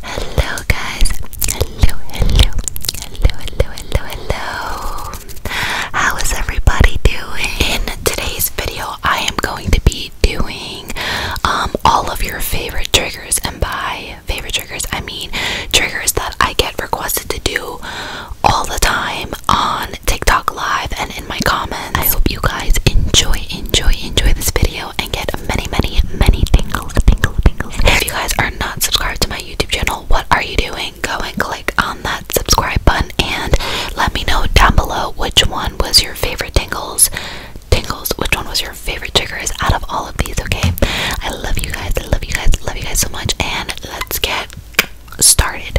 Hello, guys. Hello, hello, hello, hello, hello, How is everybody doing? In today's video, I am going to be doing um, all of your favorite triggers, and by favorite triggers, I mean triggers that I get requested to do all the time on TikTok Live and in my comments. I hope you guys enjoy, enjoy, enjoy this video and get many, many, many tingles, tingles, tingles. If you guys are not subscribed to my YouTube channel, what are you doing? Go and click on that subscribe button and let me know down below which one was your favorite tingles. Tingles, which one was your favorite triggers out of all of these, okay? I love you guys, I love you guys, love you guys so much, and let's get started.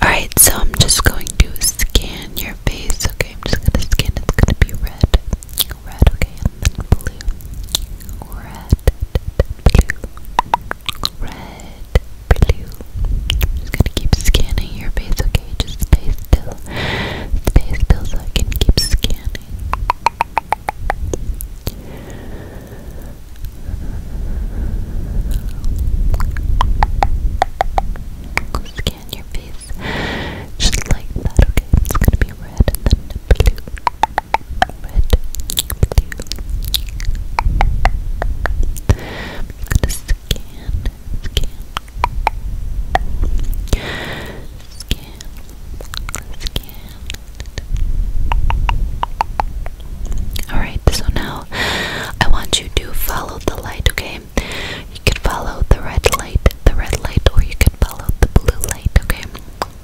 Alright, so I'm just going to scan your face. Okay, I'm just gonna scan. It's gonna be red. Red, okay, and then blue. Red, blue red, blue. just gonna keep scanning your face, okay? Just stay still. Stay still so I can keep scanning. Scan your face just like that, okay? It's gonna be red and then blue gonna scan, scan, scan, Alright, so now I want you to follow the light, okay? You can follow the red light, the red light, or you can follow the blue light, okay?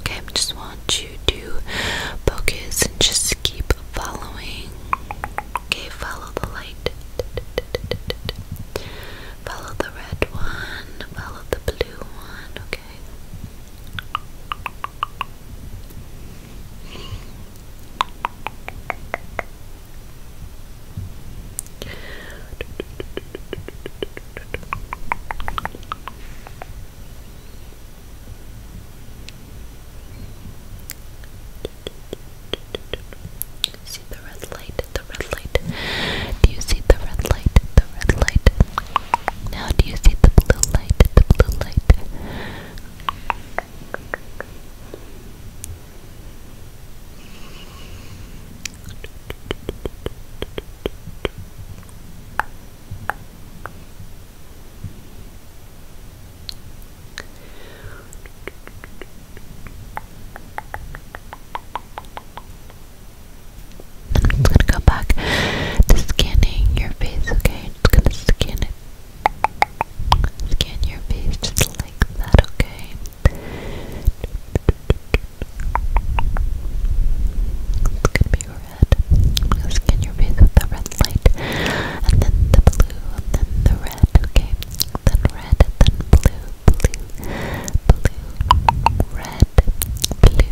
Okay, just one I want you to focus and just keep following. Okay, follow the light. Follow the red one. Follow the blue one. Okay. See the red light, the red light. Do you see the red light, the red light? Now do you see the blue light, the blue light? i gonna go back to scanning your face, okay? Just gonna scan it. Scan your face just like that, okay? red. I'm gonna scan your face with the red light, and then the blue, and then the red, okay? Then red, and then blue, blue, blue, red, blue, red. Okay,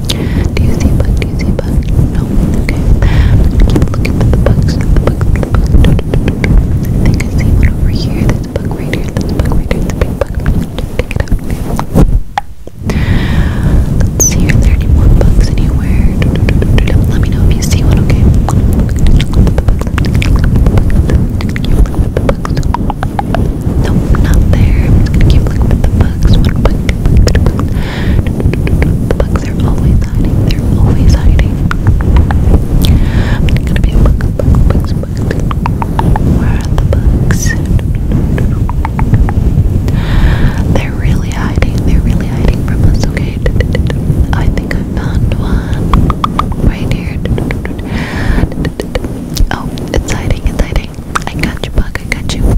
Do you see a Do you see a No. Okay. I'm gonna keep looking for the bugs. The bugs. The bugs. I think I see one over here. There's a bug right here. a bug right It's a big bug. Pick it up. Let's see. any more bugs anywhere? Let me know if you see one. Okay. Nope, not there. keep looking at the bugs. One bug bugs are always hiding. They're always hiding. I'm gonna be a bug, bugs, bugs. Where are the bugs? They're really hiding. They're really hiding from us. Okay. I think I found one right here. Oh, it's hiding. It's hiding. I got you, bug. I got you.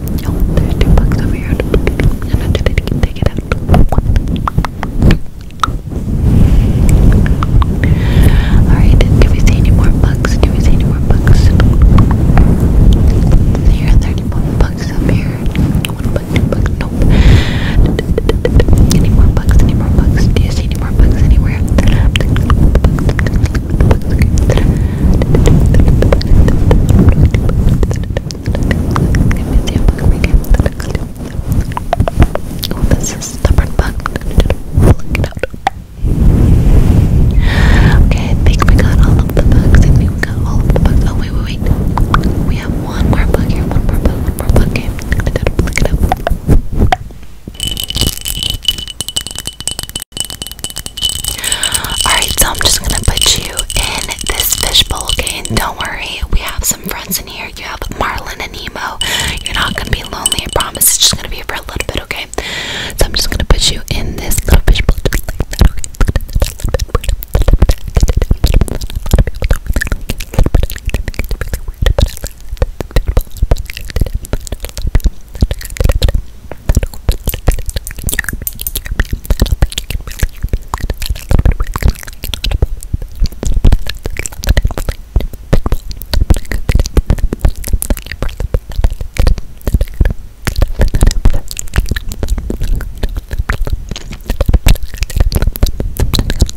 Oh, there's two bucks over here. I didn't take it out. Alright, do we see any more bucks? Do we see any more bucks? Here, 31 bucks up here. One buck, two bucks, nope. Any more bucks? Any more bucks? Do you see any more bucks anywhere? Oh, this is stubborn bug. Look it out. Okay, I think we got all of the bugs. I think we got all of the bugs. Oh wait, wait, wait. We have one more bug here. One more bug. One more bug. Okay, look it up. Alright, so I'm just gonna put you in this fishbowl, okay? don't worry, we have some friends in here. You have Marlin and Nemo. You're not gonna be lonely, I promise. It's just gonna be for a little bit, okay? So I'm just gonna put you in this little fishbowl.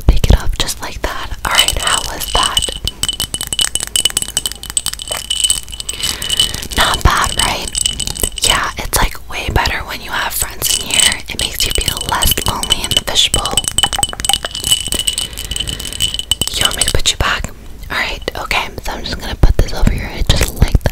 Take it off just like that. Alright, how was that? Not bad, right? Yeah, it's like way better when you have friends in here. It makes you feel less lonely in the fishbowl. You want me to put you back? Alright, okay, so I'm just gonna put this over here. head just like that.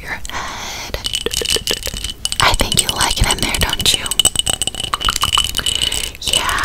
I think you like it in there, don't you? Yeah.